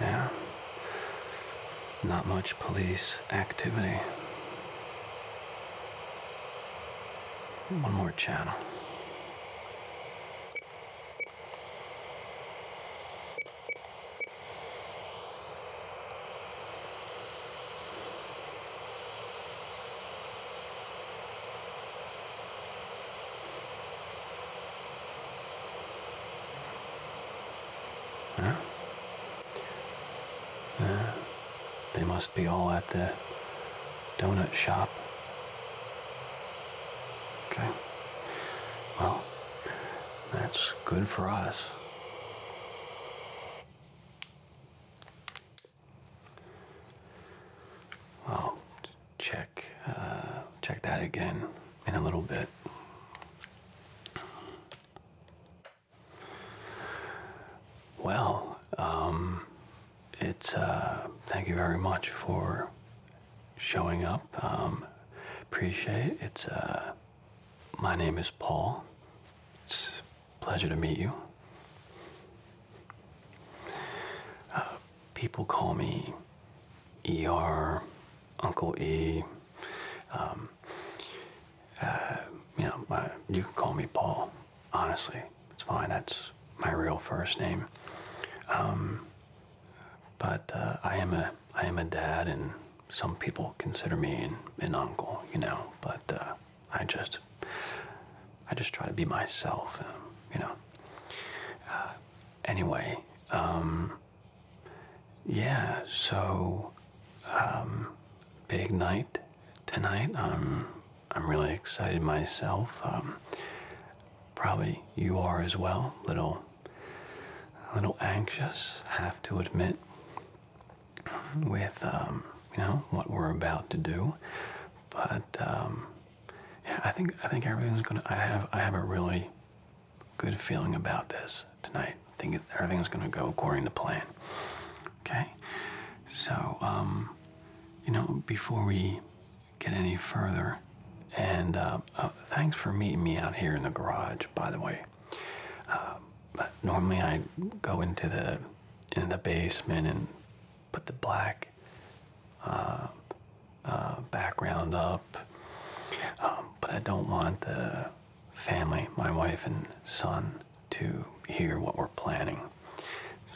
Yeah. Not much police activity. One more channel. Huh? Uh, they must be all at the donut shop. Okay. Well, that's good for us i check uh, check that again in a little bit. Well, um, it's uh, thank you very much for showing up. Um, appreciate it. It's uh, my name is Paul. It's a pleasure to meet you. Uh, people call me ER, Uncle E. Um, uh, you know, you can call me Paul. Honestly, it's fine. That's my real first name. Um, but uh, I am a I am a dad, and some people consider me an, uncle, you know, but uh, I just, I just try to be myself, um, you know. Uh, anyway, um, yeah, so um, big night tonight. Um, I'm really excited myself. probably you are as well. Little, a little anxious, have to admit with um, you know what we're about to do, but um, yeah, I think I think everything's gonna. I have I have a really good feeling about this tonight. I think everything's gonna go according to plan. Okay, so um, you know before we get any further, and uh, uh, thanks for meeting me out here in the garage. By the way, um, but normally I go into the in the basement and put the black uh, uh, background up, um, but I don't want the family, my wife and son, to hear what we're planning.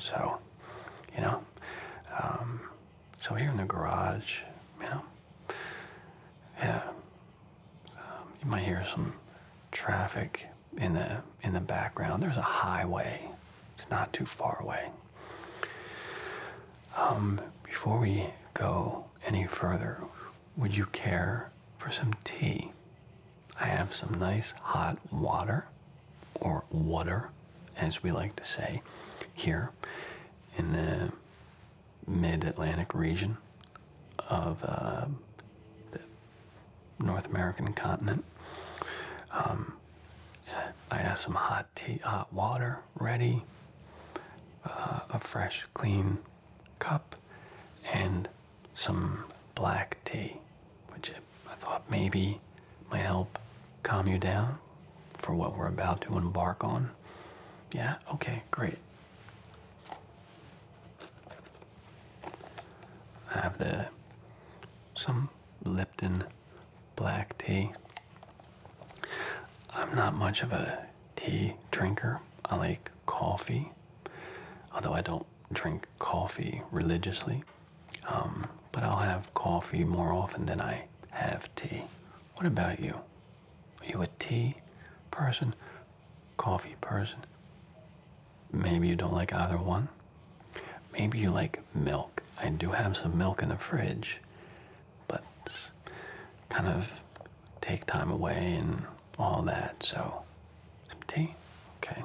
So, you know, um, so here in the garage, you know, yeah, um, you might hear some traffic in the in the background. There's a highway. It's not too far away. Um, before we go any further, would you care for some tea? I have some nice hot water, or water, as we like to say, here in the mid Atlantic region of uh, the North American continent. Um, I have some hot tea, hot water ready, uh, a fresh, clean cup, and some black tea, which I thought maybe might help calm you down for what we're about to embark on. Yeah, okay, great. I have the some Lipton black tea. I'm not much of a tea drinker. I like coffee, although I don't drink coffee religiously. Um, but I'll have coffee more often than I have tea. What about you? Are you a tea person? coffee person. Maybe you don't like either one. Maybe you like milk. I do have some milk in the fridge, but kind of take time away and all that. So, some tea? Okay.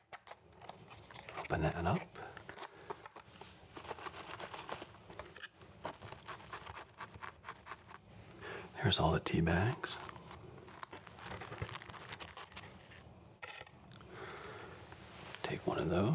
Open that one up. There's all the tea bags. Take one of those.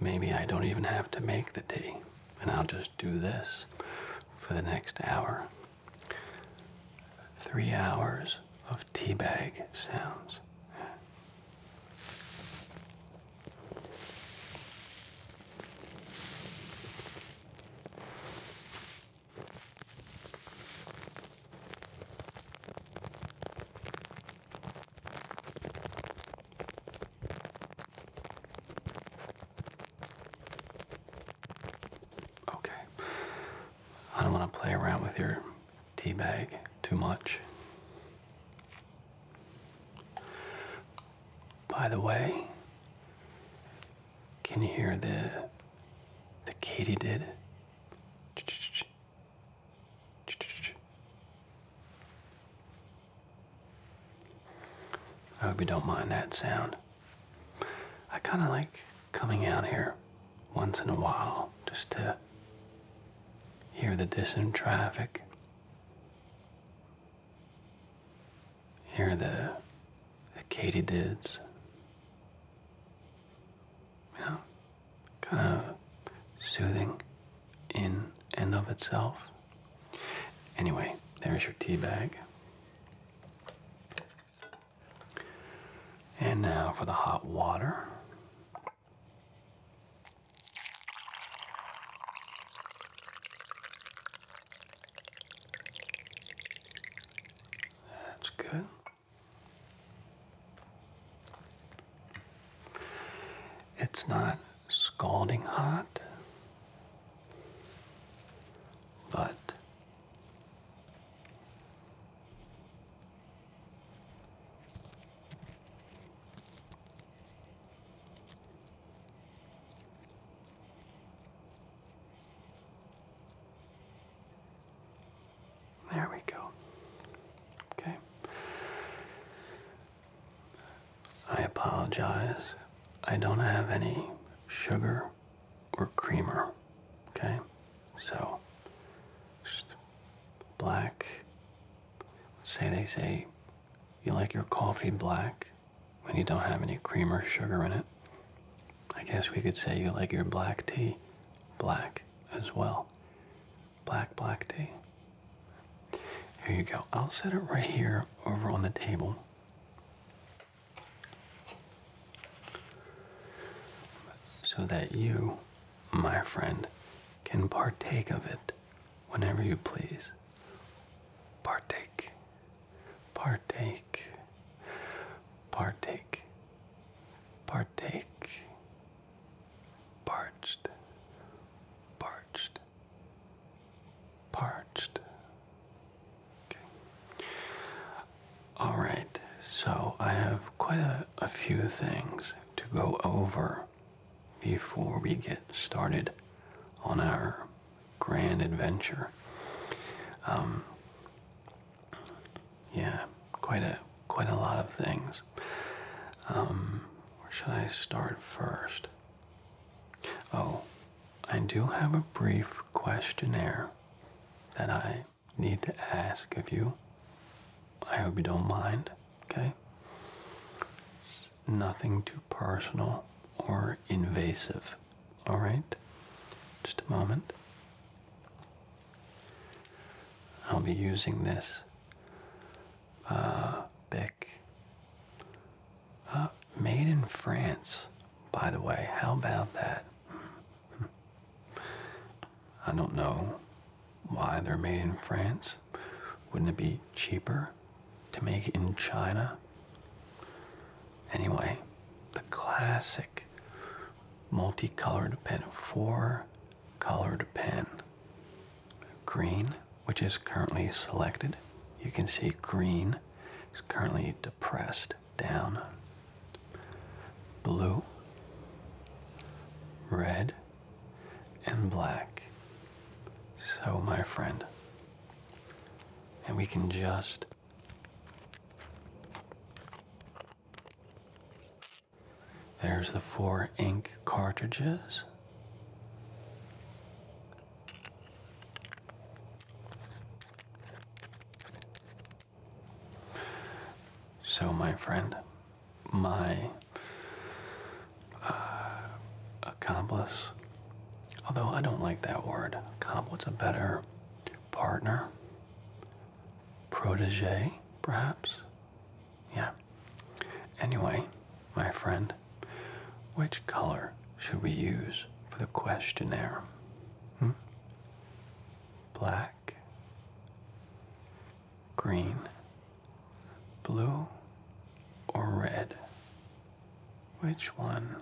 Maybe I don't even have to make the tea, and I'll just do this for the next hour. Three hours of tea bag sounds. Okay. I don't want to play around with your teabag too much. By the way, can you hear the the Katy katydid? I hope you don't mind that sound. I kind of like coming out here once in a while just to hear the distant traffic, hear the, the katydids. You know, kind of soothing in and of itself. Anyway, there's your tea bag. And now for the hot water. That's good. It's not scalding hot, but there we go. Okay. I apologize. I don't have any sugar or creamer. Okay? So, black. say they say you like your coffee black when you don't have any cream or sugar in it. I guess we could say you like your black tea black as well. Black, black tea. Here you go. I'll set it right here over on the table. So that you, my friend, can partake of it whenever you please. Partake, partake, partake, partake, parched, parched parched. Okay. All right, so I have quite a, few things to go over before we get started on our grand adventure. Um, yeah, quite a quite a lot of things. Um, where should I start first? Oh, I do have a brief questionnaire that I need to ask of you. I hope you don't mind, okay? It's nothing too personal or invasive, all right? Just a moment. I'll be using this uh, big uh, made in France, by the way. How about that? I don't know why they're made in France. Wouldn't it be cheaper to make in China? Anyway, the classic multicolored pen, four colored pen green, which is currently selected. You can see green is currently depressed down. Blue, red, and black. So, my friend, and we can just There's the four ink cartridges. So, my friend, my uh, accomplice, although I don't like that word, accomplice, a better partner, protege, perhaps? Yeah. Anyway, my friend, which color should we use for the questionnaire? Hmm? Black, green, blue, or red? Which one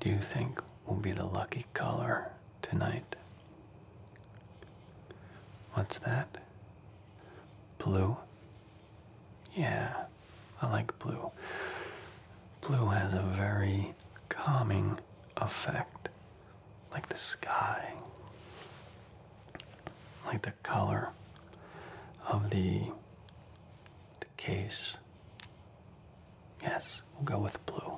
do you think will be the lucky color tonight? What's that? Blue? Yeah, I like blue. Blue has a very calming effect, like the sky, like the color of the, the case. Yes, we'll go with blue.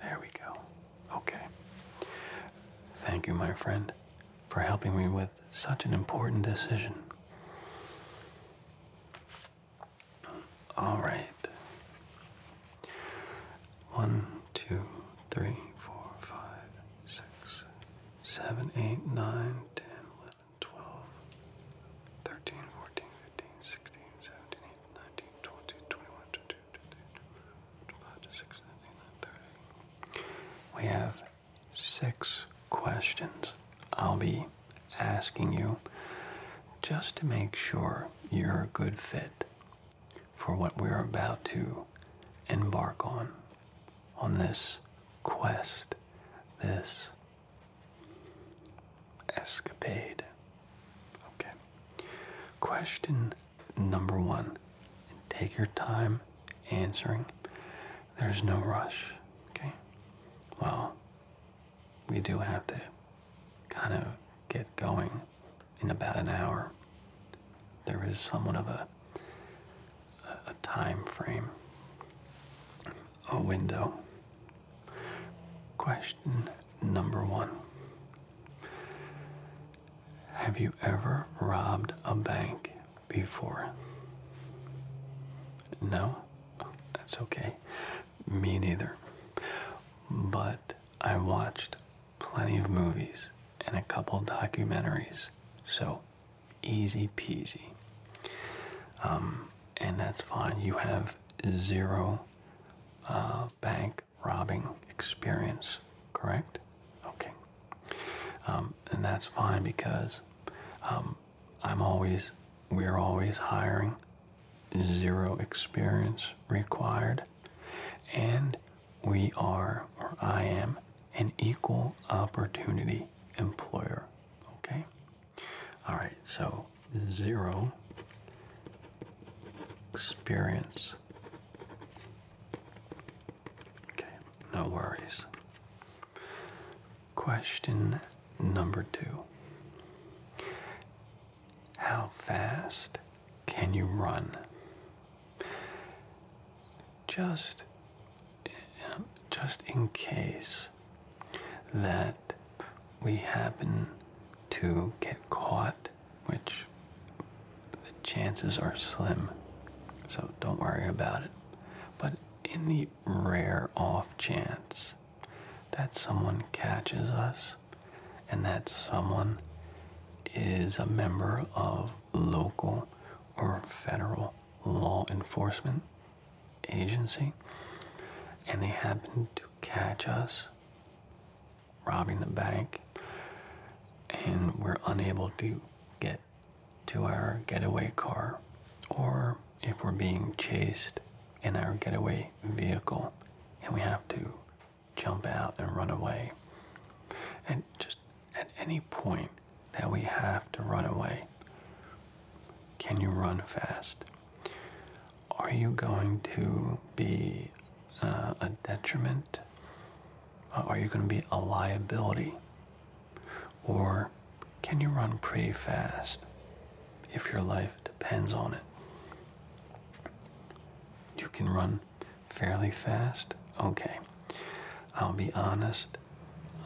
There we go. Okay. Thank you, my friend, for helping me with such an important decision. All right. One, two, three, four, five, six, seven, eight, nine, ten, eleven, twelve, thirteen, fourteen, fifteen, sixteen, seventeen, we have six questions I'll be asking you just to make sure you're a good fit for what we're about to embark on, on this quest, this escapade. Okay. Question number one. Take your time answering. There's no rush. Okay? Well, we do have to kind of get going in about an hour. There is somewhat of a, a time frame, a window. Question number one have you ever robbed a bank before? No? that's okay. Me neither. But I watched plenty of movies and a couple documentaries, so easy peasy. Um, and that's fine. You have zero uh, bank robbing experience, correct? Okay. Um, and that's fine because um, I'm always, we're always hiring, zero experience required. And we are, or I am, an equal opportunity employer. Okay? All right, so zero experience. Okay, no worries. Question number two How fast can you run? Just, just in case that we happen to get caught which the chances are slim, so don't worry about it. But in the rare off chance that someone catches us and that someone is a member of local or federal law enforcement agency and they happen to catch us robbing the bank, and we're unable to get to our getaway car, or if we're being chased in our getaway vehicle and we have to jump out and run away. And just at any point that we have to run away, can you run fast? Are you going to be uh, a detriment? Uh, are you going to be a liability? Or can you run pretty fast if your life depends on it? You can run fairly fast? Okay. I'll be honest,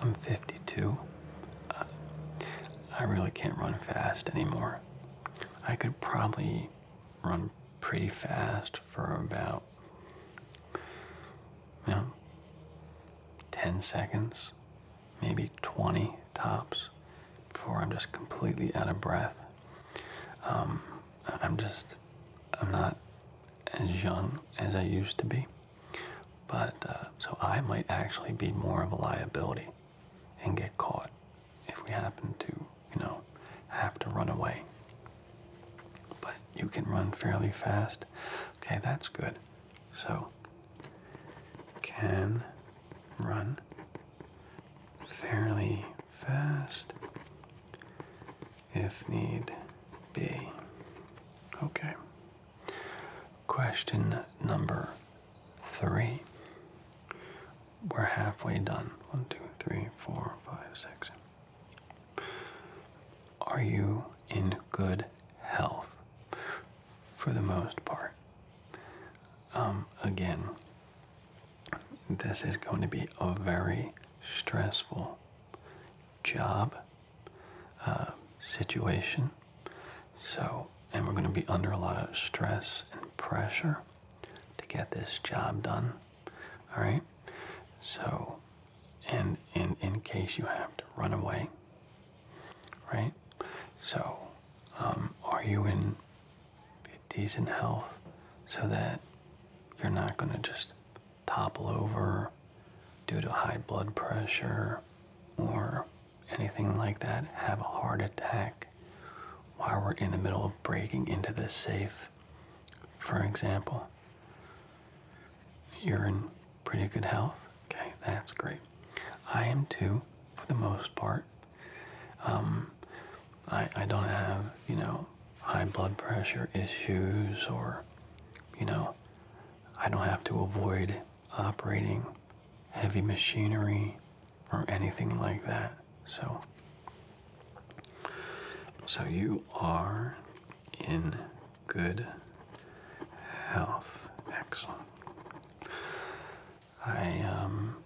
I'm 52. Uh, I really can't run fast anymore. I could probably run pretty fast for about you know, 10 seconds, maybe 20 tops before I'm just completely out of breath. Um, I'm just, I'm not as young as I used to be. But uh, so I might actually be more of a liability and get caught if we happen to, you know, have to run away. But you can run fairly fast. Okay, that's good. So, can run fairly fast if need be. Okay. Question number three we're halfway done. One, two, three, four, five, six. Are you in good health for the most part? Um, again, this is going to be a very stressful job uh, situation. So, and we're going to be under a lot of stress and pressure to get this job done. All right. So, and in in case you have to run away, right? So, um, are you in decent health, so that you're not going to just topple over due to high blood pressure or anything like that, have a heart attack? while we're in the middle of breaking into this safe. For example, you're in pretty good health. Okay, that's great. I am too, for the most part. Um, I, I don't have, you know, high blood pressure issues or, you know, I don't have to avoid operating heavy machinery or anything like that. So, so you are in good health. Excellent. I um,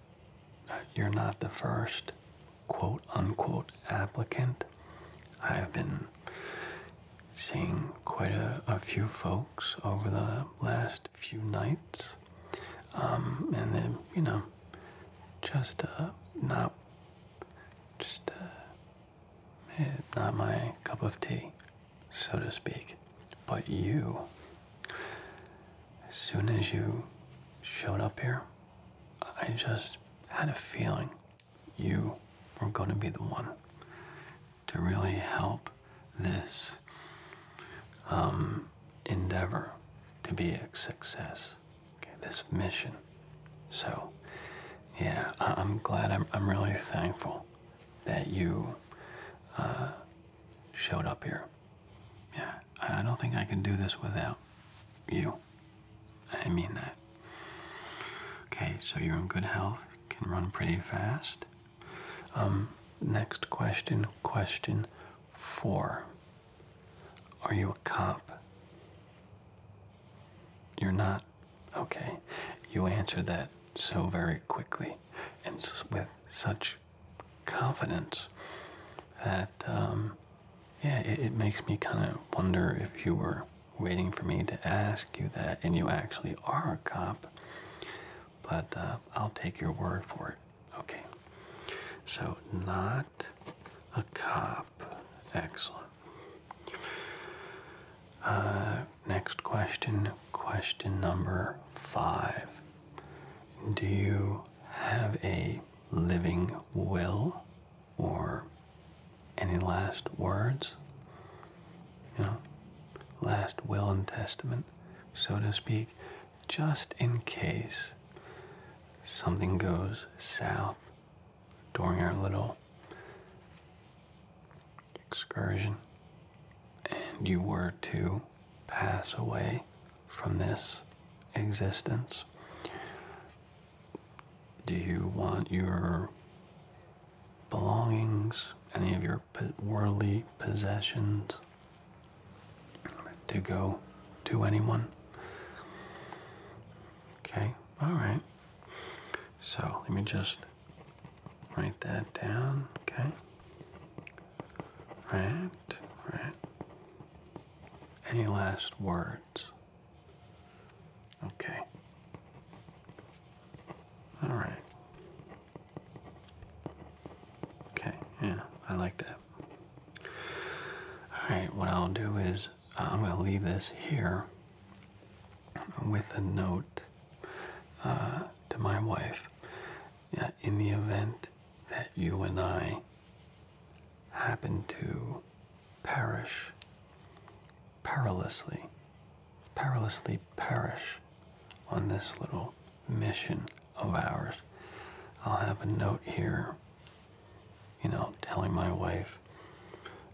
uh, you're not the first quote unquote applicant. I've been seeing quite a, a few folks over the last few nights, um, and then you know, just uh, not, just uh, eh, not my cup of tea, so to speak. But you, as soon as you showed up here, I just had a feeling you were going to be the one to really help this um, endeavor to be a success. this mission. So, yeah, I am glad. I'm, I'm really thankful that you uh, showed up here. Yeah, I don't think I can do this without you. I mean that. Okay, so you're in good health, can run pretty fast. Um, next question, question four. Are you a cop? You're not? Okay. You answer that so very quickly and with such confidence that, um, yeah, it, makes me kind of wonder if you were waiting for me to ask you that and you actually are a cop. But uh, I'll take your word for it. Okay. So, not a cop. Excellent. Uh, next question, question number five. Do you have a living will or any last words? You know, last will and testament, so to speak just in case something goes south during our little excursion and you were to pass away from this existence. Do you want your belongings, any of your worldly possessions, to go to anyone. Okay, all right. So let me just write that down, okay? Right, right. Any last words? Okay. All right. Okay, yeah, I like that. All right, what I'll do is uh, I'm going to leave this here with a note uh, to my wife. Uh, in the event that you and I happen to perish perilously, perilously perish on this little mission of ours. I'll have a note here, you know, telling my wife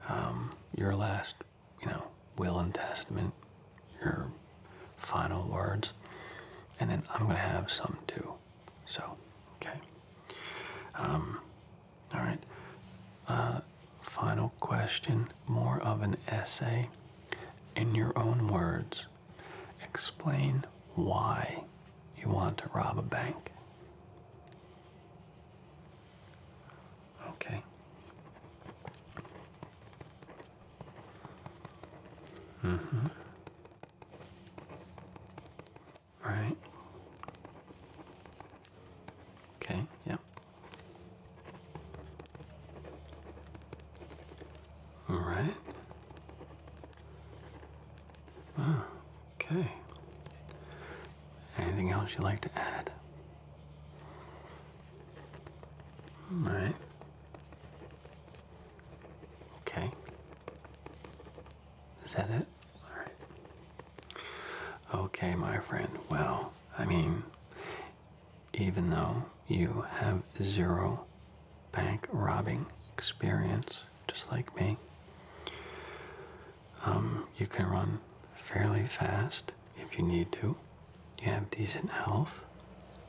um, your last, you know, will and testament, your final words, and then I'm going to have some too. So, okay. Um, all right. Uh, final question, more of an essay. In your own words, explain why you want to rob a bank. Okay. hmm Right. Okay, yep. All right. Ah, okay. Anything else you'd like to add? Hmm, all right. Okay. Is that it? All right. Okay, my friend. Well, I mean, even though you have zero bank robbing experience, just like me. Um, you can run fairly fast if you need to. You have decent health.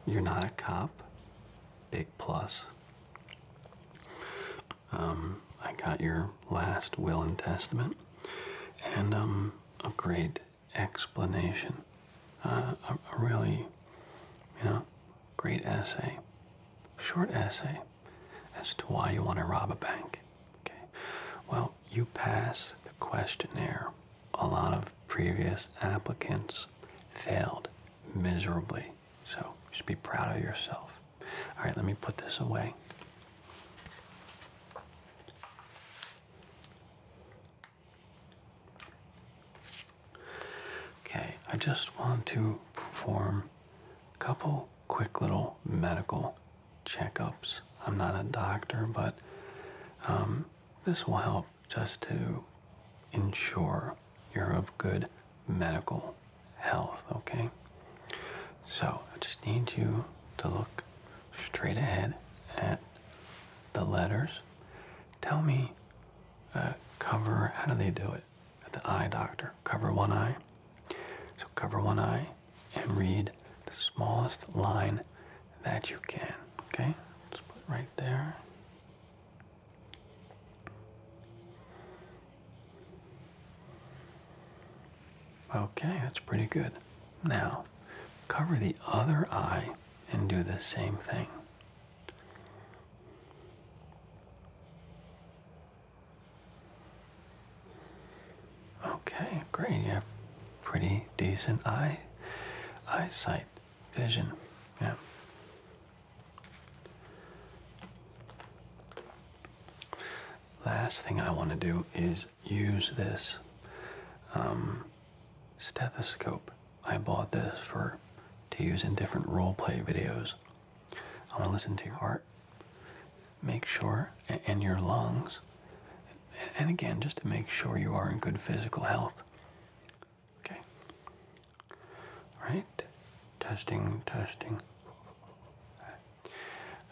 You're not a cop. Big plus. Um, I got your last will and testament and um, a great explanation. Uh, a really, you know, great essay, short essay, as to why you want to rob a bank. Okay. Well, you pass the questionnaire. A lot of previous applicants failed miserably. So you should be proud of yourself. All right, let me put this away. Okay, I just want to perform a couple quick little medical checkups. I'm not a doctor, but um, this will help just to ensure you're of good medical health, okay? So I just need you to look straight ahead at the letters. Tell me uh, cover, how do they do it? at the eye doctor. Cover one eye. So cover one eye and read the smallest line that you can. Okay? Just put right there. Okay, that's pretty good. Now, cover the other eye and do the same thing. Okay, great. You have pretty decent eye eyesight vision. Yeah. Last thing I want to do is use this um, stethoscope I bought this for to use in different role play videos. I'm gonna listen to your heart. Make sure in your lungs. And again, just to make sure you are in good physical health. Okay. All right. Testing, testing.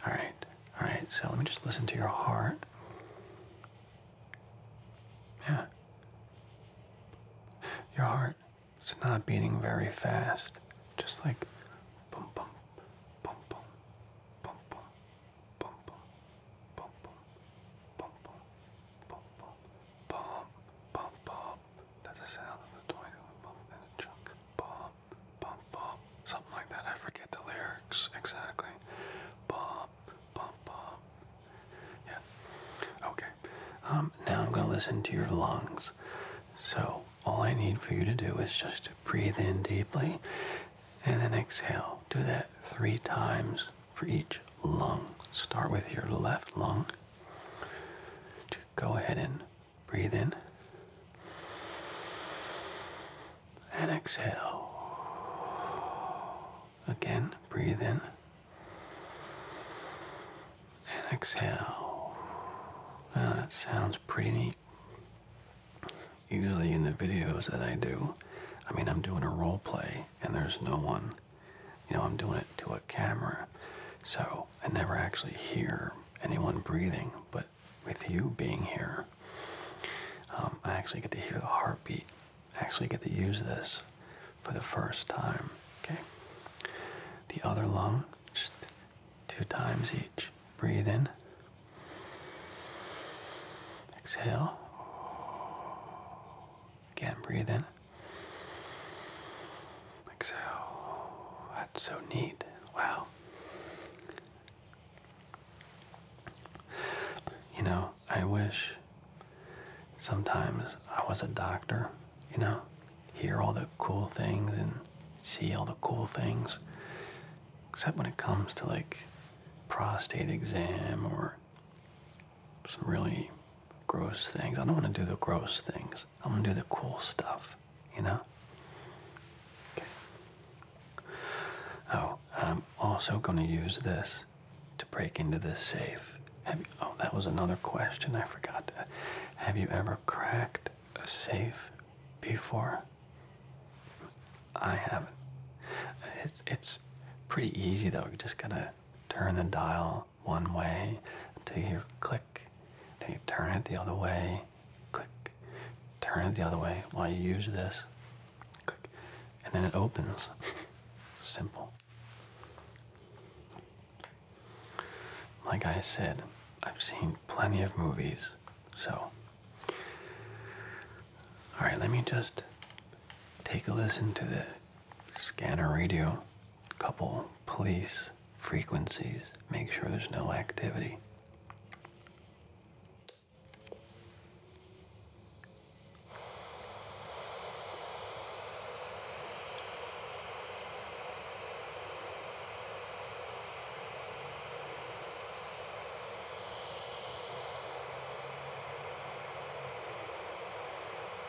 All right. All right. So let me just listen to your heart. Yeah. Your heart. It's not beating very fast. Just like bum bum bum bum bum bum bum bum bum bum bum bum bum bum bum That's the sound of the toy going bum and a chunk. Bum bum bum. Something like that. I forget the lyrics exactly. Bum bum bum. Yeah. Okay. Um, now I'm going to listen to your lungs. So all I need for you to do is just to breathe in deeply and then exhale. Do that three times for each lung. Start with your left lung. Go ahead and breathe in and exhale. Again, breathe in and exhale. that sounds pretty neat. Usually in the videos that I do, I mean, I'm doing a role play and there's no one. You know, I'm doing it to a camera. So I never actually hear anyone breathing. But with you being here, um, I actually get to hear the heartbeat. I actually get to use this for the first time. Okay? The other lung, just two times each. Breathe in. Exhale. Again, breathe in. Exhale. That's so neat. Wow. You know, I wish Sometimes I was a doctor, you know, hear all the cool things and see all the cool things. Except when it comes to like prostate exam or some really gross things. I don't want to do the gross things. i want to do the cool stuff, you know? Oh, I'm also going to use this to break into this safe. Have you, oh, that was another question. I forgot that. Have you ever cracked a safe before? I haven't. It's it's pretty easy though. You just gotta turn the dial one way until you click. Then you turn it the other way, click. Turn it the other way while you use this, click, and then it opens. Simple. Like I said, I've seen plenty of movies, so. Alright, let me just take a listen to the scanner radio, couple police frequencies, make sure there's no activity.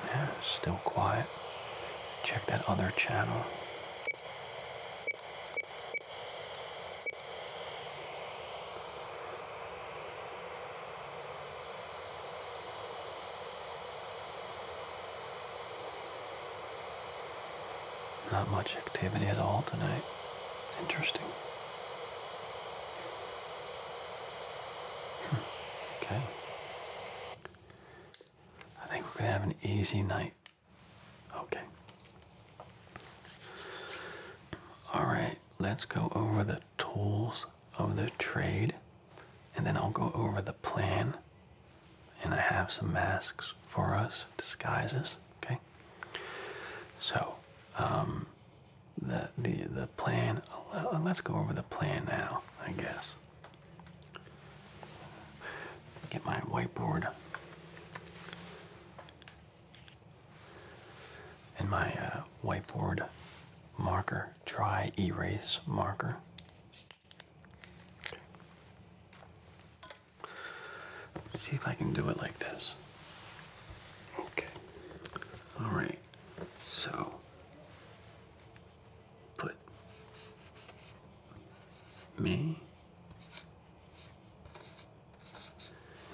Yeah, still quiet. Check that other channel. Not much activity at all tonight. interesting. Hmm. okay. I think we're going to have an easy night. Okay. Alright, let's go over the tools of the trade and then I'll go over the plan. And I have some masks for us, disguises. Okay. So, um, the the the plan. Uh, let's go over the plan now. I guess. Get my whiteboard and my uh, whiteboard marker, dry erase marker. Okay. See if I can do it like this. Okay. All right. So put me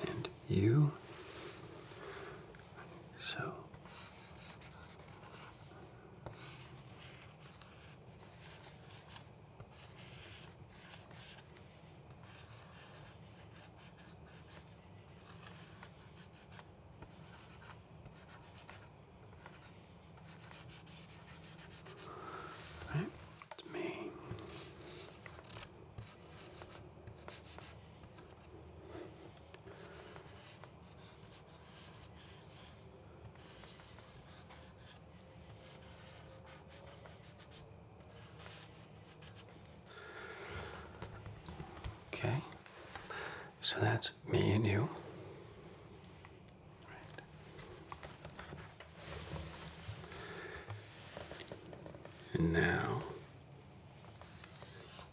and you. So Right, it's me. Okay, so that's me and you. Right. And now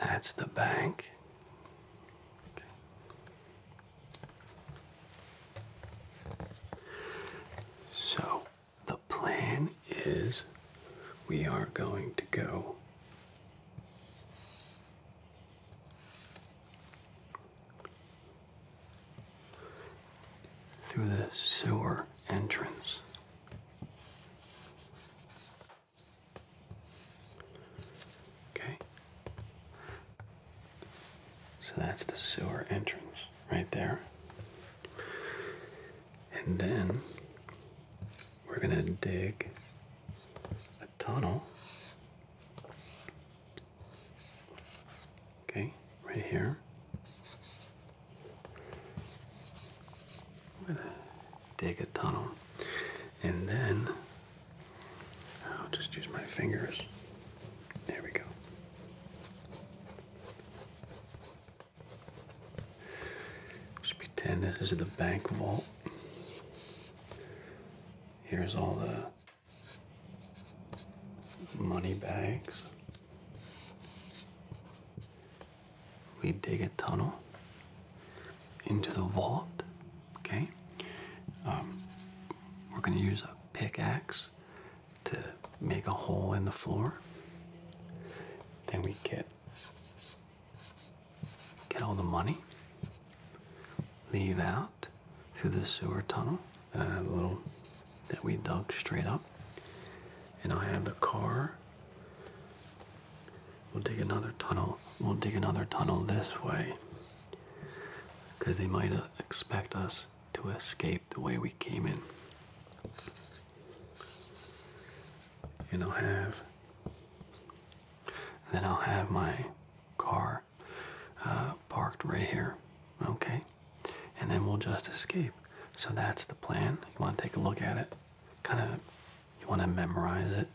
That's the bank. So the plan is we are going to go through the sewer entrance. Okay. So that's the sewer entrance right there. And then we're going to dig a tunnel Okay, right here. I'm gonna dig a tunnel, and then I'll just use my fingers. There we go. Just pretend this is the bank vault. Here's all the money bags. We dig a tunnel into the vault, okay? Um, we're gonna use a pickaxe to make a hole in the floor. Then we get get all the money, leave out, through the sewer tunnel, uh, little that we dug straight up. And I have the car. We'll dig another tunnel. We'll dig another tunnel this way. Because they might uh, expect us to escape the way we came in. And I'll have. Then I'll have my car uh, parked right here. Okay? and then we'll just escape. So that's the plan. You want to take a look at it, kind of, you want to memorize it,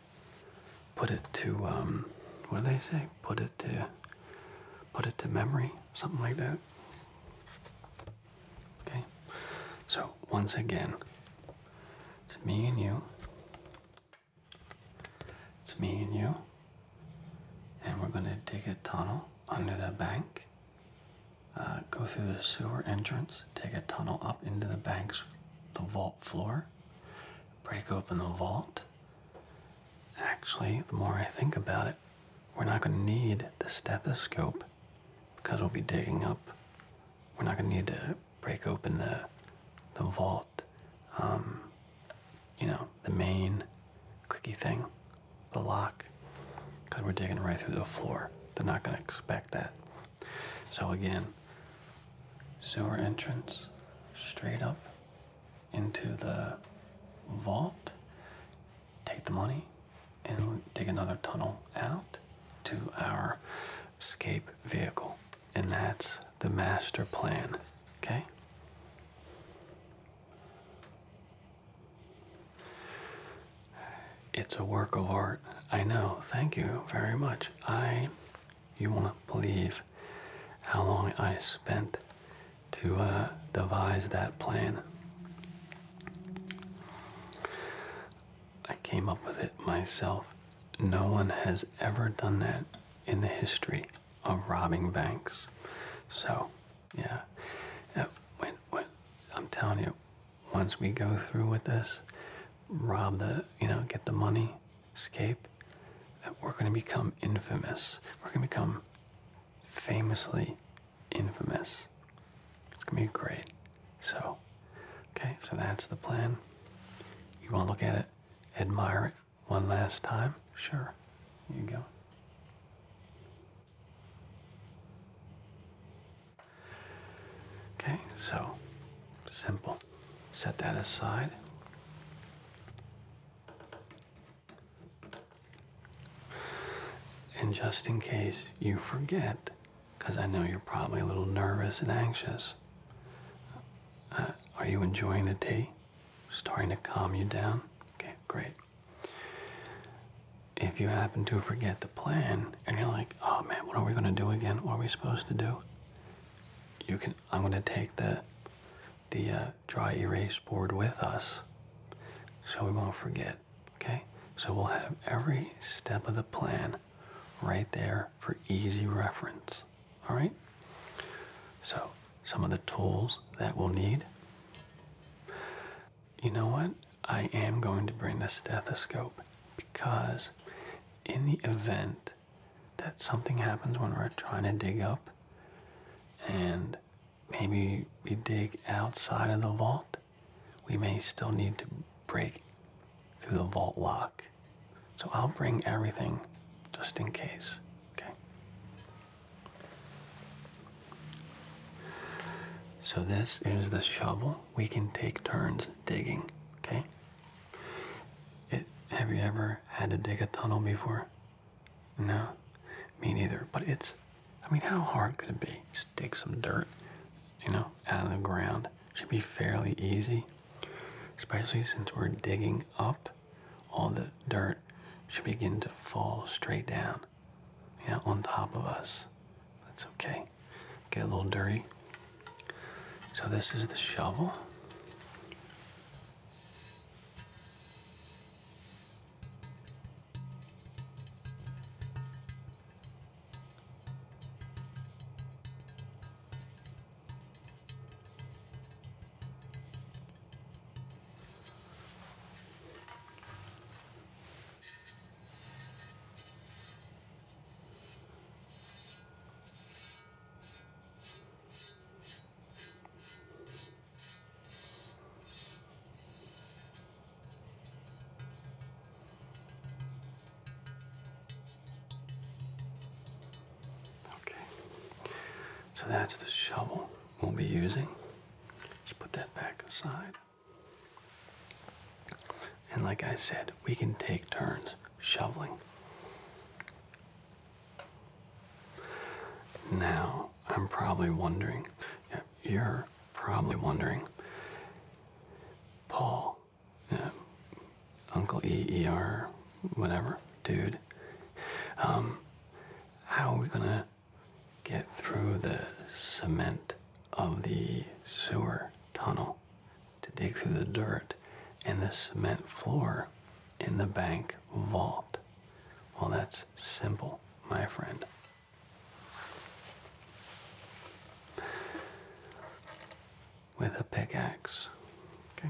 put it to, um, what do they say? Put it to, put it to memory, something like that. Okay. So once again, it's me and you. It's me and you. And we're going to dig a tunnel under the bank, uh, go through the sewer entrance, dig a tunnel up into the bank's the vault floor, break open the vault. Actually, the more I think about it, we're not going to need the stethoscope because we'll be digging up. We're not going to need to break open the the vault. Um, you know, the main clicky thing, the lock, because we're digging right through the floor. They're not going to expect that. So again, sewer entrance straight up into the vault, take the money, and dig another tunnel out to our escape vehicle. And that's the master plan, okay? It's a work of art. I know. Thank you very much. I, you won't believe how long I spent to uh, devise that plan. I came up with it myself. No one has ever done that in the history of robbing banks. So yeah. I'm telling you, once we go through with this, rob the, you know, get the money, escape, uh, we're going to become infamous. We're going to become famously infamous. It's going to be great. So, okay, so that's the plan. You want to look at it, admire it one last time? Sure there. You go. Okay, so simple. Set that aside. And just in case you forget, because I know you're probably a little nervous and anxious, uh, are you enjoying the tea? Starting to calm you down? Okay, great. If you happen to forget the plan and you're like, oh man, what are we gonna do again? What are we supposed to do? You can I'm gonna take the the uh, dry erase board with us so we won't forget. Okay? So we'll have every step of the plan right there for easy reference. Alright? So some of the tools that we'll need. You know what? I am going to bring the stethoscope because, in the event that something happens when we're trying to dig up and maybe we dig outside of the vault, we may still need to break through the vault lock. So I'll bring everything just in case. Okay. So this is the shovel. We can take turns digging, okay? It, have you ever had to dig a tunnel before? No, me neither. But it's, I mean, how hard could it be? Just dig some dirt, you know, out of the ground. Should be fairly easy, especially since we're digging up all the dirt should begin to fall straight down yeah, on top of us. That's okay. Get a little dirty. So this is the shovel. Okay, so that's the shovel won't be using. Just put that back aside. And like I said, we can take turns shoveling. Now, I'm probably wondering, yeah, you're probably wondering, Paul, Uncle EER, whatever, dude, um, how are we gonna get through the cement of the sewer tunnel, to dig through the dirt and the cement floor in the bank vault. Well, that's simple, my friend. With a pickaxe. Okay.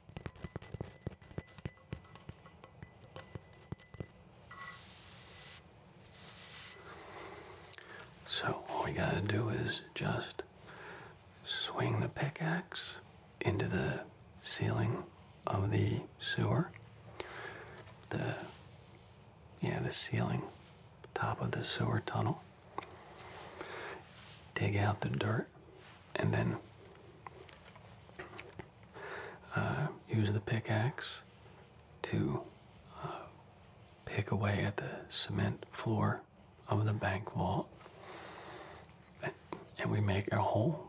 So all we gotta do is just swing the pickaxe into the ceiling of the sewer. The yeah, the ceiling, top of the sewer tunnel. Dig out the dirt and then uh, use the pickaxe to uh, pick away at the cement floor of the bank vault. And we make a hole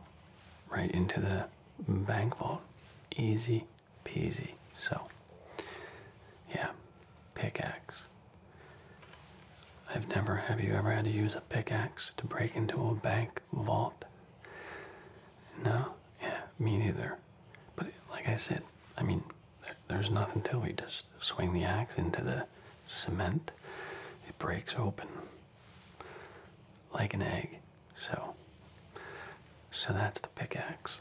right into the bank vault. Easy peasy. So, yeah, pickaxe. I've never, have you ever had to use a pickaxe to break into a bank vault? No? Yeah, me neither. But like I said, I mean, there's nothing to it. You just swing the axe into the cement, it breaks open like an egg. So, so that's the pickaxe.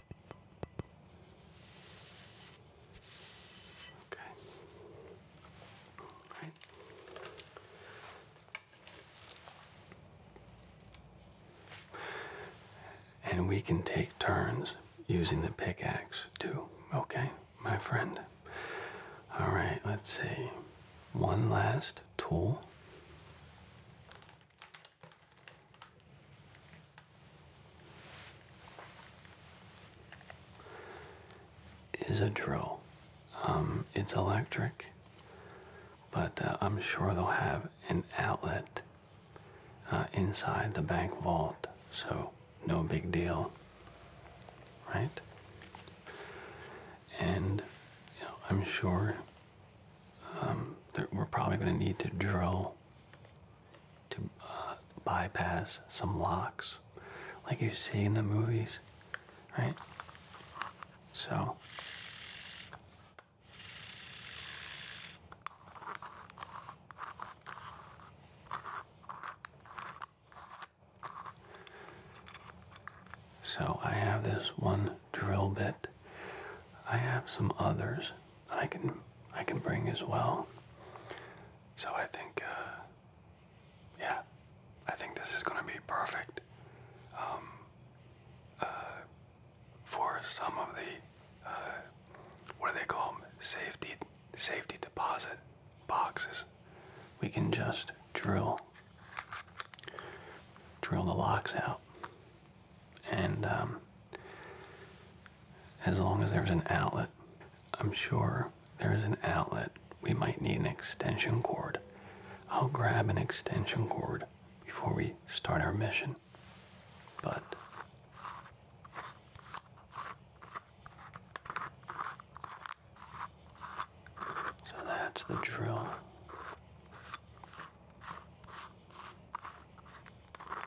Okay. All right. And we can take turns using the pickaxe too, okay, my friend? All right, let's see. One last tool is a drill. Um, it's electric, but uh, I'm sure they'll have an outlet uh, inside the bank vault, so no big deal, right? And I'm sure um, that we're probably going to need to drill to uh, bypass some locks, like you see in the movies, right? So. So I have this one drill bit. I have some others I can I can bring as well. So I think, uh, yeah, I think this is going to be perfect um, uh, for some of the uh, what do they call Safety safety deposit boxes. We can just drill drill the locks out and um, as long as there's an outlet, I'm sure there's an outlet. We might need an extension cord. I'll grab an extension cord before we start our mission. But so that's the drill.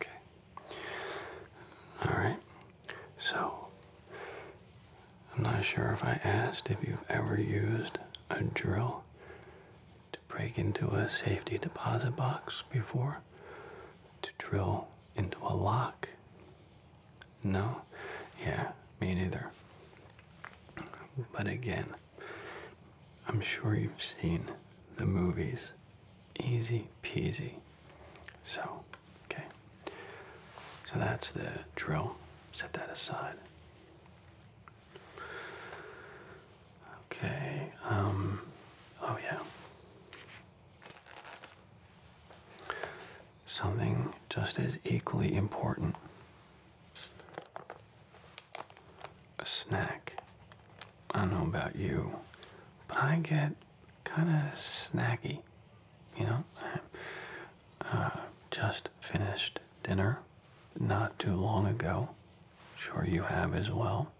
Okay. All right. So, I'm not sure if I asked if you've ever used a drill to break into a safety deposit box before, to drill into a lock. No? Yeah, me neither. But again, I'm sure you've seen the movies. Easy peasy. So, okay. So that's the drill. Set that aside. Okay, um, oh yeah. Something just as equally important a snack. I don't know about you, but I get kind of snacky. You know, I uh, just finished dinner not too long ago. Sure, you have as well.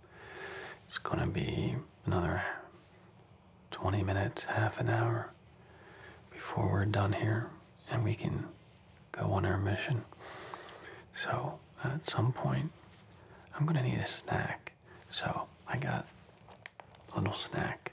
It's gonna be another 20 minutes, half an hour before we're done here, and we can go on our mission. So at some point, I'm gonna need a snack. So I got a little snack.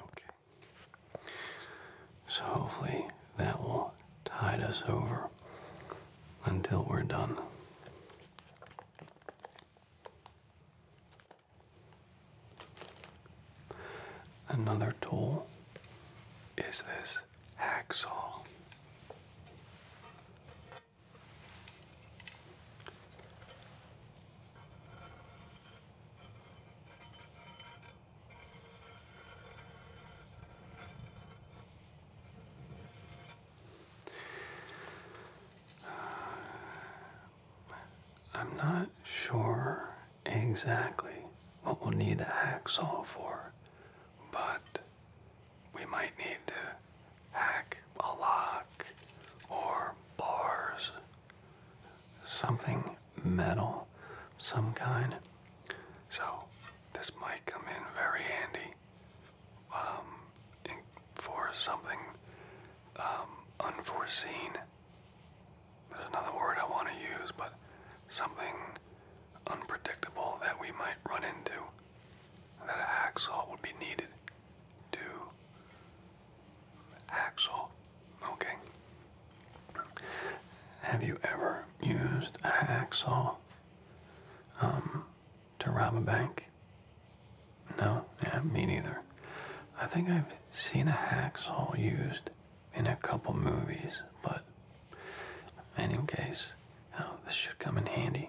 Okay. So hopefully that will tide us over until we're done. Another tool is this axle. Uh, I'm not sure exactly what we'll need a hacksaw for, but we might need to hack a lock or bars, something metal, some kind. So this might come in very handy um, for something um, unforeseen there's another word I want to use, but something unpredictable that we might run into, that a hacksaw would be needed to hacksaw. Okay. Have you ever used a hacksaw um, to rob a bank? No, yeah, me neither. I think I've seen a hacksaw used in a couple movies, but in any case, oh, this should come in handy.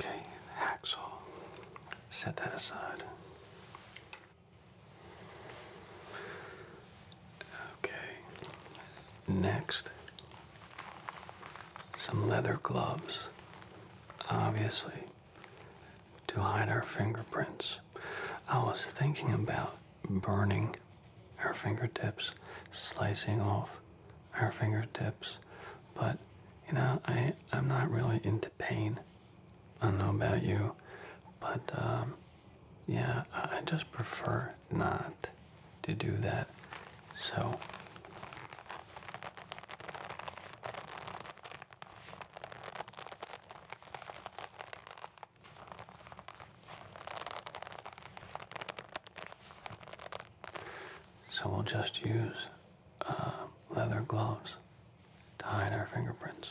Okay, hacksaw. Set that aside. Okay, next, some leather gloves, obviously, to hide our fingerprints. I was thinking about burning our fingertips, slicing off our fingertips. But you know, I I'm not really into pain. I don't know about you, but um, yeah, I just prefer not to do that. So. So we'll just use uh, leather gloves to hide our fingerprints.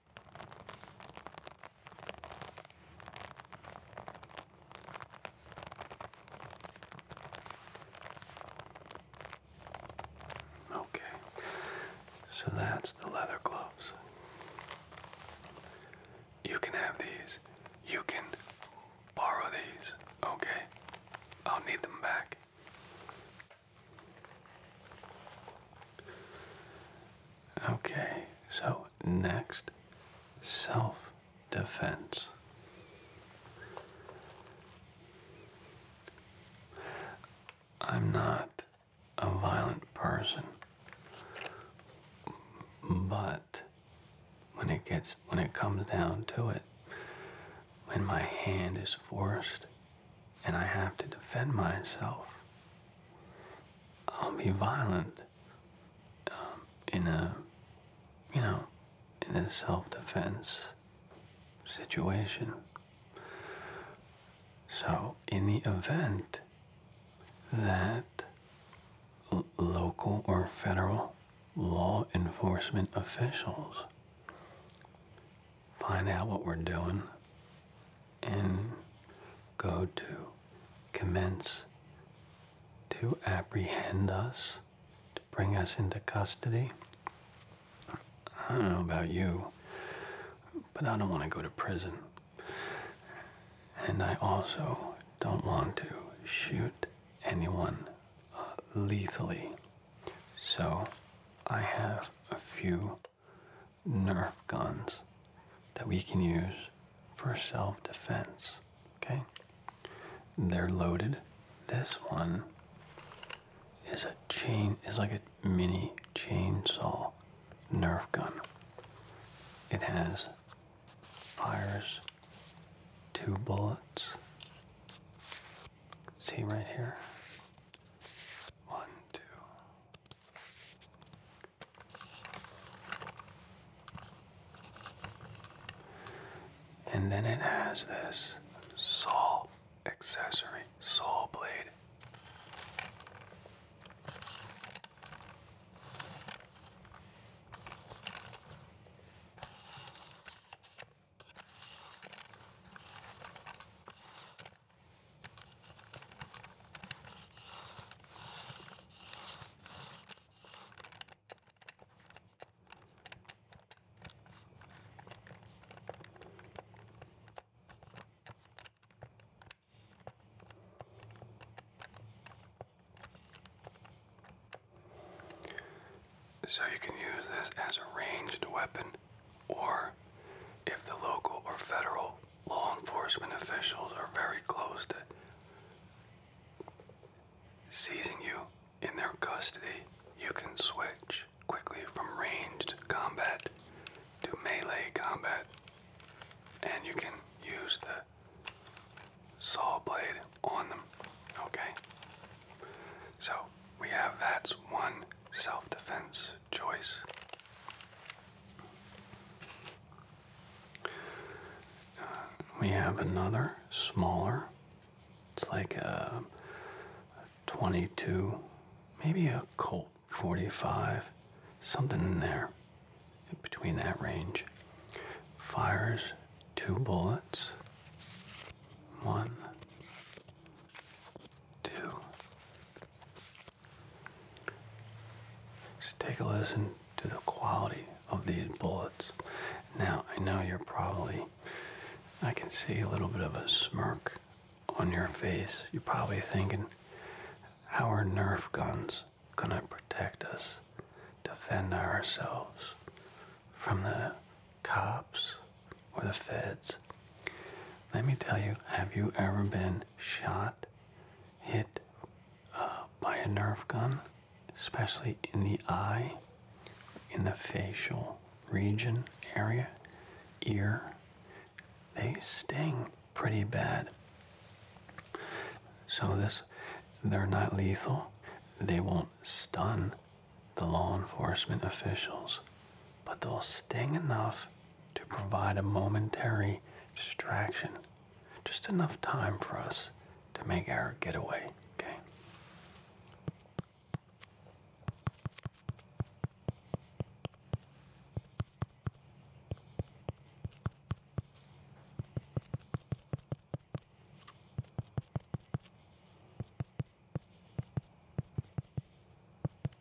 Okay, so that's the leather gloves. You can have these. You can borrow these. Okay, I'll need them back. Okay, so next, self defense. I'm not a violent person, but when it gets when it comes down to it, when my hand is forced and I have to defend myself, I'll be violent um, in a, you know, in a self-defense situation. So in the event that local or federal law enforcement officials find out what we're doing and go to commence to apprehend us, to bring us into custody. I don't know about you, but I don't want to go to prison. And I also don't want to shoot anyone uh, lethally. So I have a few Nerf guns that we can use for self defense. Okay? They're loaded. This one is a chain, is like a mini chainsaw Nerf gun. It has fires two bullets. See right here? One, two, and then it has this saw accessory, saw blade. So you can use this as a ranged weapon, or if the local or federal law enforcement officials are very close to seizing you in their custody, you can switch quickly from ranged combat to melee combat. And you can use the saw blade on them. Okay? So, we have that's one self defense choice. Uh, we have another smaller. It's like a, a 22, maybe a Colt 45, something in there, between that range. Fires two bullets. One, two, just take a listen to the quality of these bullets. Now, I know you're probably, I can see a little bit of a smirk on your face. You're probably thinking, how are Nerf guns going to protect us, defend ourselves from the cops or the feds? Let me tell you, have you ever been shot hit uh, by a Nerf gun, especially in the eye, in the facial region area, ear, they sting pretty bad. So this, they're not lethal. They won't stun the law enforcement officials but they'll sting enough to provide a momentary distraction. Just enough time for us to make our getaway, okay?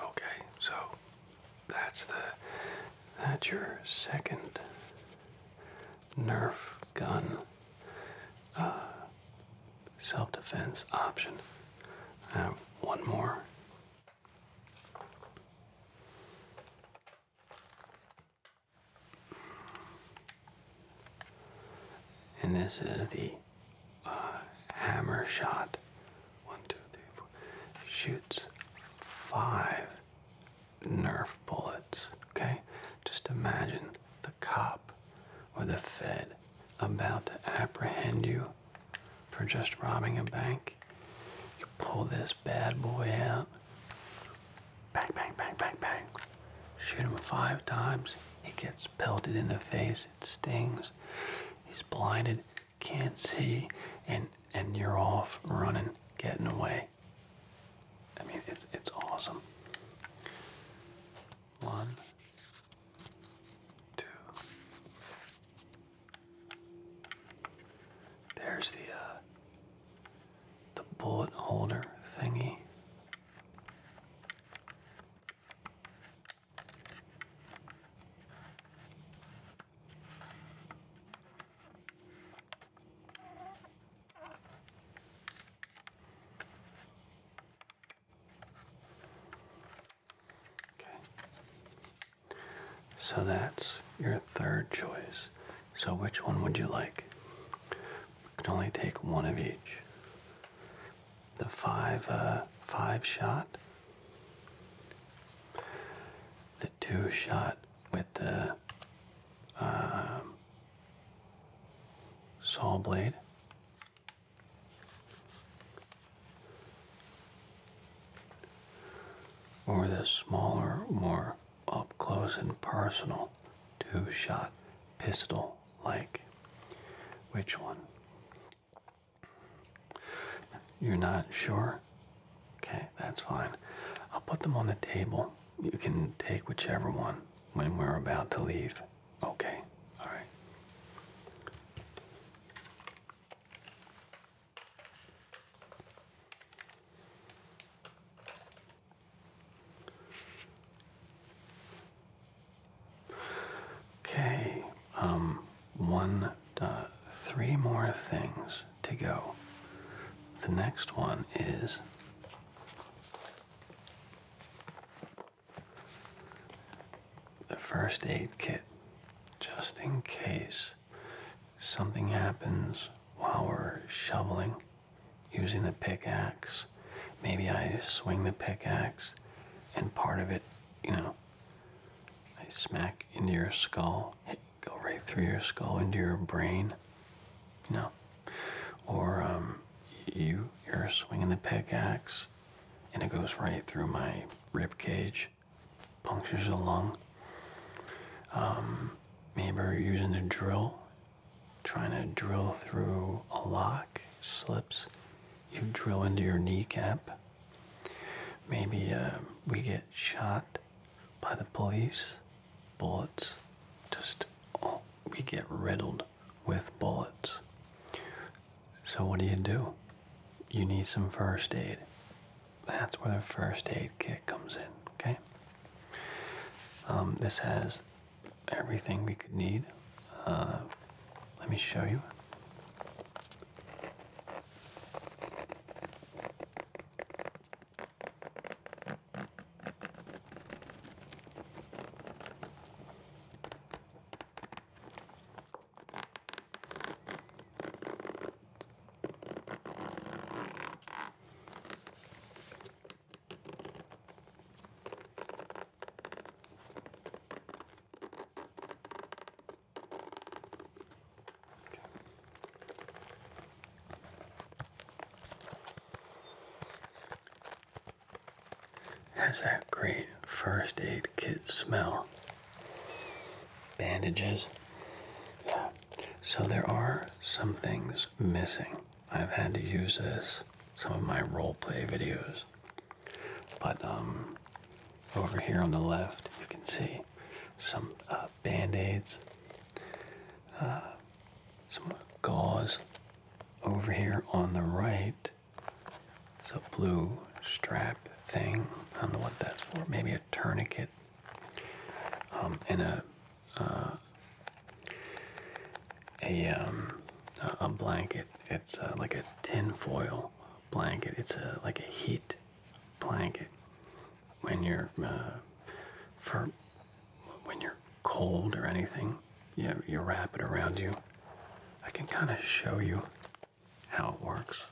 Okay, so that's the that's your second Nerf gun uh, self-defense option. I one more and this is the uh, hammer shot. One, two, three, four. Shoots five Nerf bullets. Okay? Just imagine the cop or the Fed about to apprehend you for just robbing a bank. You pull this bad boy out. Bang, bang, bang, bang, bang. Shoot him five times. He gets pelted in the face. It stings. He's blinded, can't see, and and you're off running, getting away. I mean, it's it's awesome. One, two, there's the uh, the bullet holder thingy. Okay. So that's your third choice. So which one would you like? We can only take one of each. The five uh, five shot, the two shot with the um, saw blade, or the smaller, more up close and personal two shot pistol like? Which one? You're not sure? Okay, that's fine. I'll put them on the table. You can take whichever one when we're about to leave. Okay, alright. Okay, um, one, uh, three more things to go. The next one is the first aid kit, just in case something happens while we're shoveling using the pickaxe, maybe I swing the pickaxe and part of it, you know, I smack into your skull, go right through your skull into your brain, you know, or um, you, you're swinging the pickaxe and it goes right through my rib cage which punctures the lung. maybe um, we're using a drill, trying to drill through a lock, slips. You drill into your kneecap. Maybe um, we get shot by the police, bullets. Just we get riddled with bullets. So what do you do? You need some first aid. That's where the first aid kit comes in, okay? Um, this has everything we could need. Uh, let me show you. Has that great first aid kit smell bandages. Yeah. So there are some things missing. I've had to use this some of my role play videos. But um, over here on the left, you can see some uh, band-aids, uh, some gauze. Over here on the right, it's a blue strap thing. I don't know what that's for. Maybe a tourniquet um, in a uh, a um, a blanket. It's uh, like a tin foil blanket. It's like a heat blanket when you're uh, for when you're cold or anything. You you wrap it around you. I can kind of show you how it works.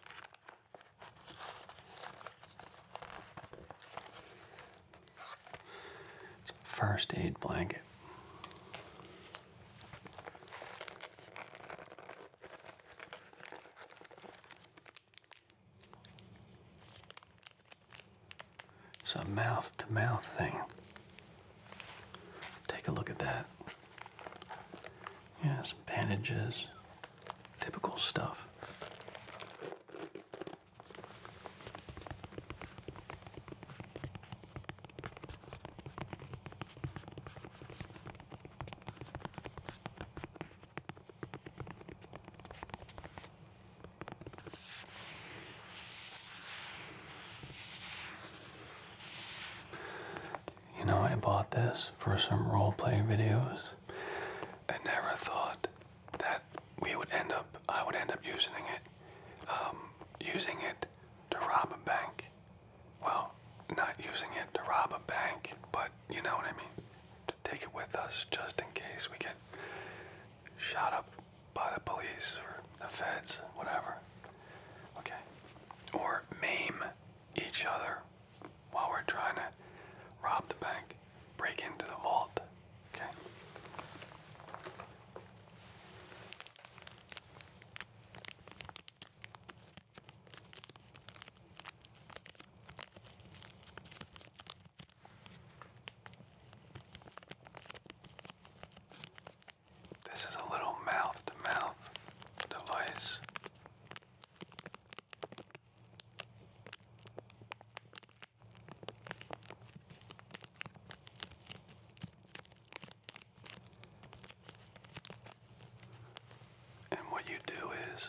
First aid blanket. It's a mouth to mouth thing. Take a look at that. Yeah, some bandages. Typical stuff. You know, I bought this for some role play videos. I never thought that we would end up, I would end up using it, um, using it to rob a bank. Well, not using it to rob a bank, but you know what I mean. take it with us just in case we get shot up by the police or the feds, whatever. Okay. Or maim each other while we're trying to rob the bank, break into the vault. Okay. This is a little mouth to mouth device and what you do is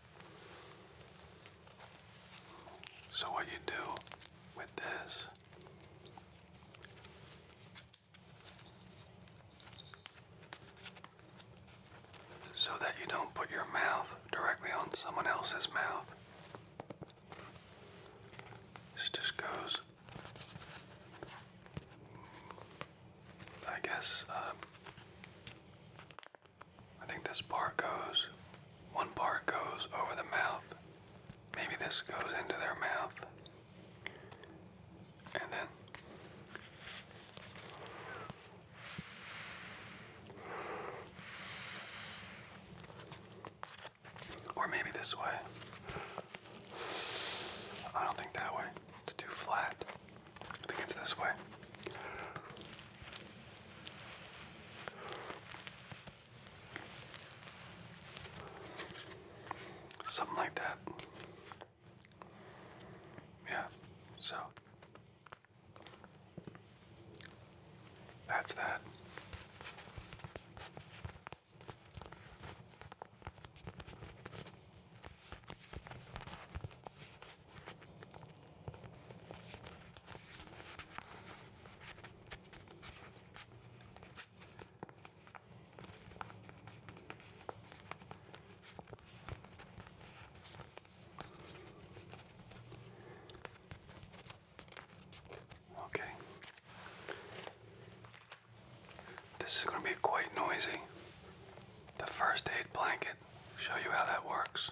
So, what you do with this so that you don't put your mouth directly on someone else's mouth. This just goes, I guess, uh, I think this part goes, one part goes over the mouth. Maybe this goes into their mouth. And then. Or maybe this way. I don't think that way. It's too flat. I think it's this way. Something like that. Yeah, so that's that. Okay. This is going to be quite noisy. The first aid blanket, show you how that works.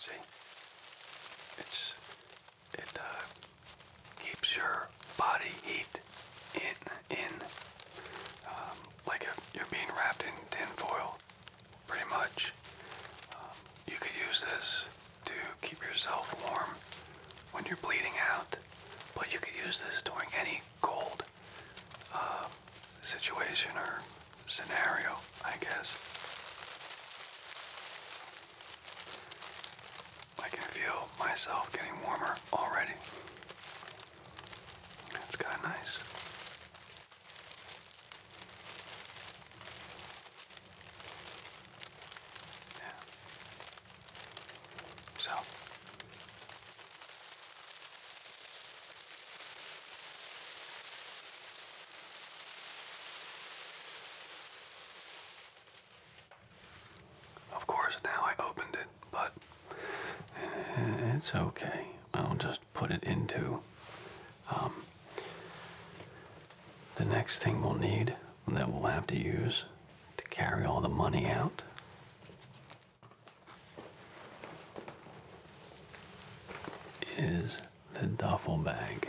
See? It's it uh, keeps your body heat in in um, like a, you're being wrapped in tin foil pretty much um, you could use this to keep yourself warm when you're bleeding out but you could use this during any cold uh, situation or scenario I guess I can feel myself getting warmer already. It's kind of nice. Yeah. So. Of course, now I opened it, but it's okay. I'll just put it into. Um, the next thing we'll need that we'll have to use to carry all the money out. Is the duffel bag.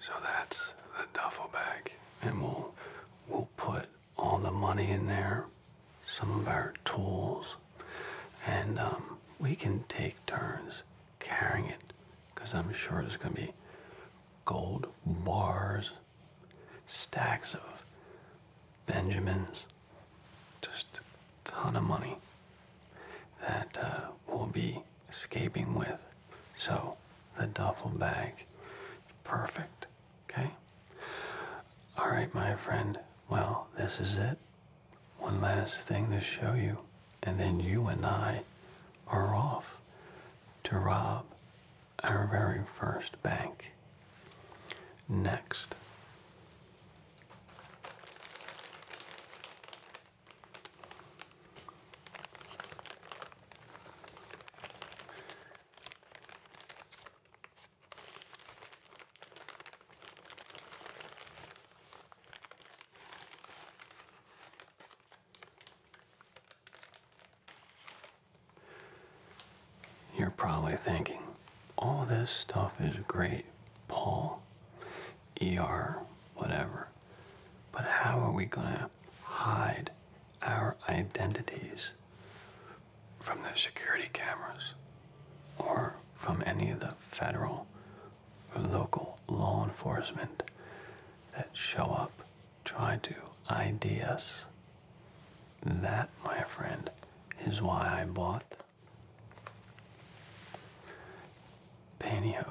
So that's the duffel bag, and we'll we'll put all the money in there, some of our tools, and um, we can take turns carrying it, because I'm sure there's gonna be gold bars stacks of Benjamins, just a ton of money that uh, we'll be escaping with. So the duffel bag, perfect, okay? All right, my friend, well, this is it. One last thing to show you, and then you and I are off to rob our very first bank. Next. You're probably thinking, all this stuff is great, Paul, ER, whatever, but how are we going to hide our identities from the security cameras or from any of the federal or local law enforcement that show up, try to ID us that, my friend, is why I bought pantyhose.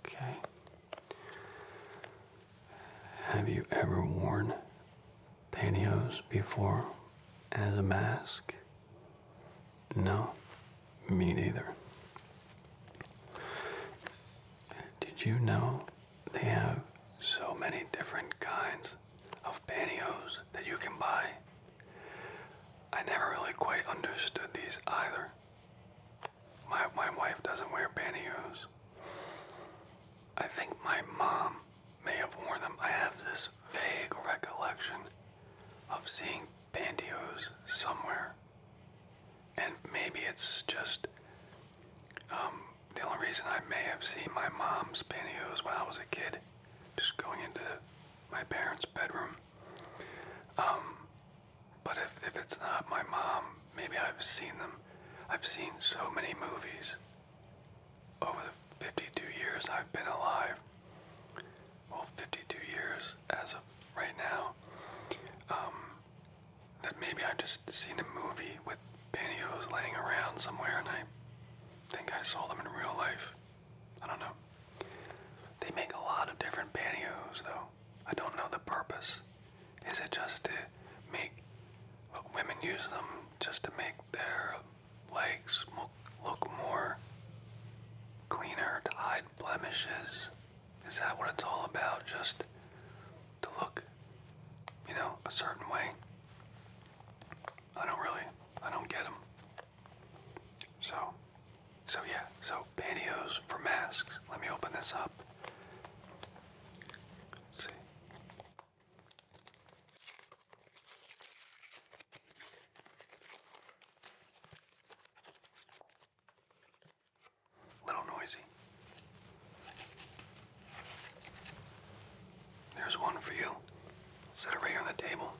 Okay. Have you ever worn pantyhose before as a mask? No, me neither. Did you know they have so many different kinds of pantyhose that you can buy? I never really quite understood these either. My, my wife doesn't wear pantyhose. I think my mom may have worn them. I have this vague recollection of seeing pantyhose somewhere. And maybe it's just um, the only reason I may have seen my mom's pantyhose when I was a kid, just going into my parents' bedroom. Um, but if, if it's not my mom, maybe I've seen them. I've seen so many movies over the 52 years I've been alive. Well, 52 years as of right now. Um, that maybe I've just seen a movie with pantyhose laying around somewhere and I think I saw them in real life. I don't know. They make a lot of different pantyhose though. I don't know the purpose. Is it just to make women use them just to make their legs look, more cleaner to hide blemishes? Is that what it's all about? Just to look, you know, a certain way? I don't really, I don't get them. So, so yeah, so Pantyhose for masks. Let me open this up. see. Little noisy. There's one for you. Set it right here on the table.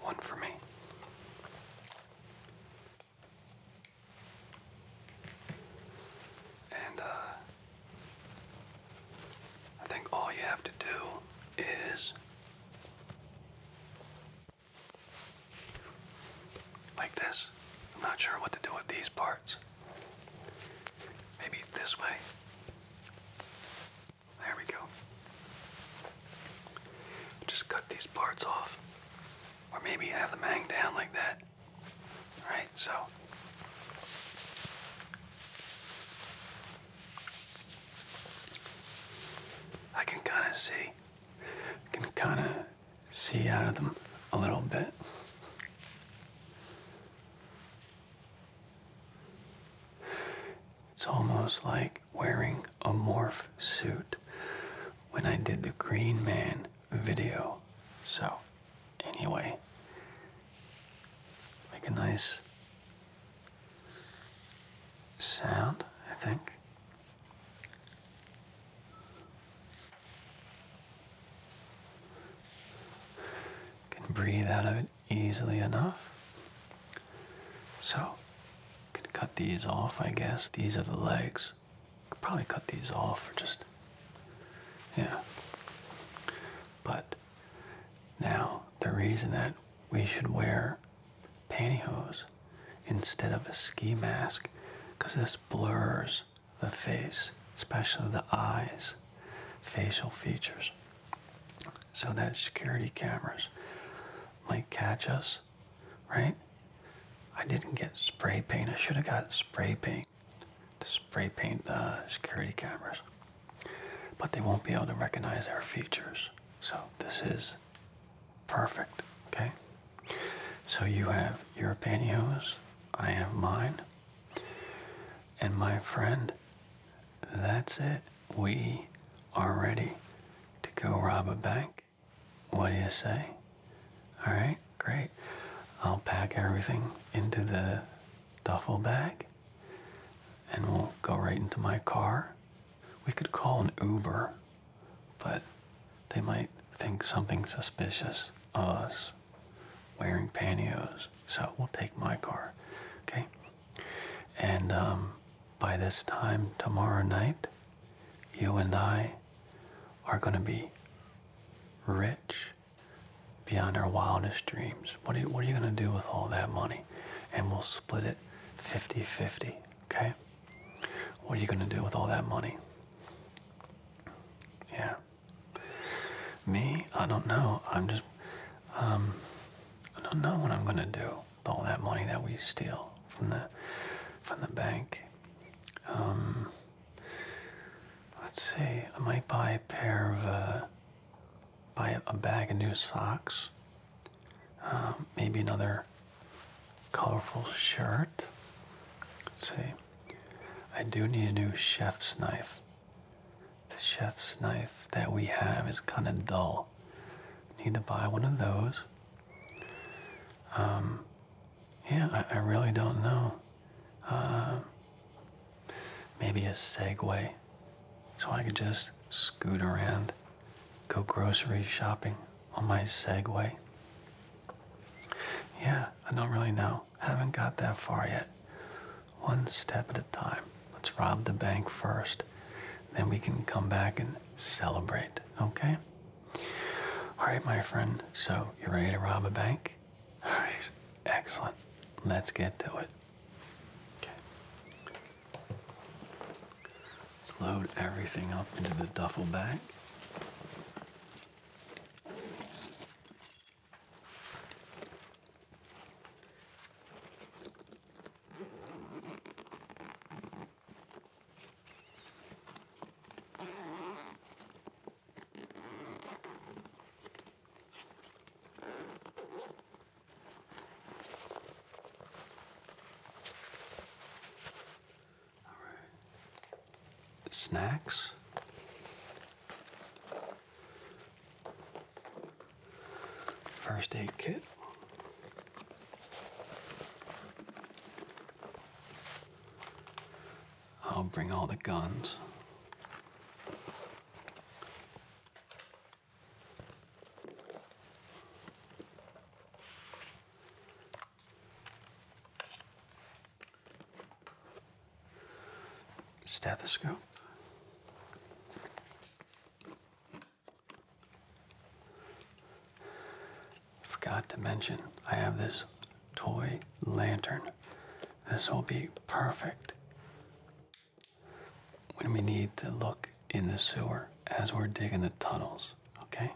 One for me. And uh, I think all you have to do is like this. I'm not sure what to do with these parts. Maybe this way. There we go. Just cut these parts off, or maybe have them hang down like that. All right, so. I can kind of see, I can kind of see out of them a little bit. It's almost like wearing a morph suit when I did the Green Man video. So, anyway, make a nice sound, I think. Can breathe out of it easily enough. So, can cut these off, I guess. These are the legs. Could probably cut these off or just, yeah. But now, the reason that we should wear pantyhose instead of a ski mask, because this blurs the face, especially the eyes, facial features, so that security cameras might catch us right? I didn't get spray paint. I should have got spray paint to spray paint the security cameras. But they won't be able to recognize our features. So this is perfect, okay? So you have your pantyhose, I have mine, and my friend, that's it. We are ready to go rob a bank. What do you say? All right, great. I'll pack everything into the duffel bag and we'll go right into my car. We could call an Uber, but they might think something suspicious us wearing pantyhose. So we'll take my car, okay? And um, by this time tomorrow night, you and I are going to be rich beyond our wildest dreams. What are you, going to do with all that money? And we'll split it 50 50, okay? What are you going to do with all that money? Yeah. Me? I don't know. I'm just, um, I don't know what I'm going to do all that money that we steal from the from the bank. Um, let's see. I might buy a pair of uh, buy a, bag of new socks. Um, maybe another colorful shirt. Let's see. I do need a new chef's knife. The chef's knife that we have is kind of dull. Need to buy one of those. Um, yeah, I, really don't know. Uh, maybe a Segway, so I could just scoot around, go grocery shopping on my Segway. Yeah, I don't really know. Haven't got that far yet. One step at a time. Let's rob the bank first then we can come back and celebrate. Okay? All right, my friend. So, you ready to rob a bank? All right. Excellent. Let's get to it. Okay. Let's load everything up into the duffel bag. Snacks. First aid kit. I'll bring all the guns. Stethoscope. Forgot to mention, I have this toy lantern. This will be perfect when we need to look in the sewer as we're digging the tunnels, okay?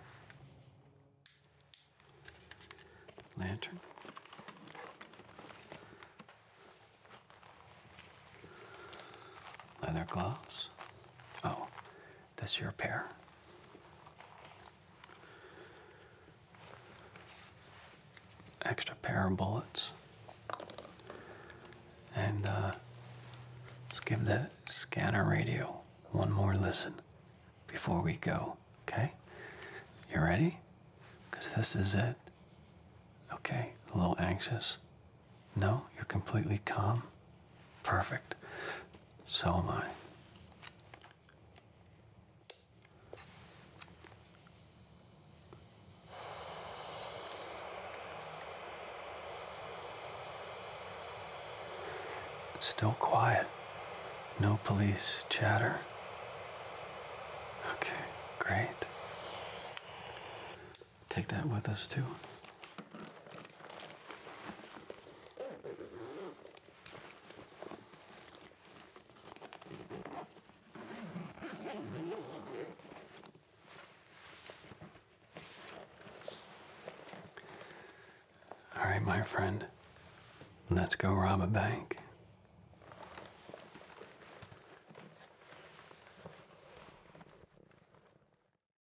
Lantern. Leather gloves. Oh, this your pair. Extra pair of bullets. And uh, let's give the scanner radio one more listen before we go, okay? You ready? Because this is it. Okay, a little anxious. No, you're completely calm. Perfect. So am I. Still quiet. No police chatter. Okay, great take that with us too. All right, my friend, let's go rob a bank.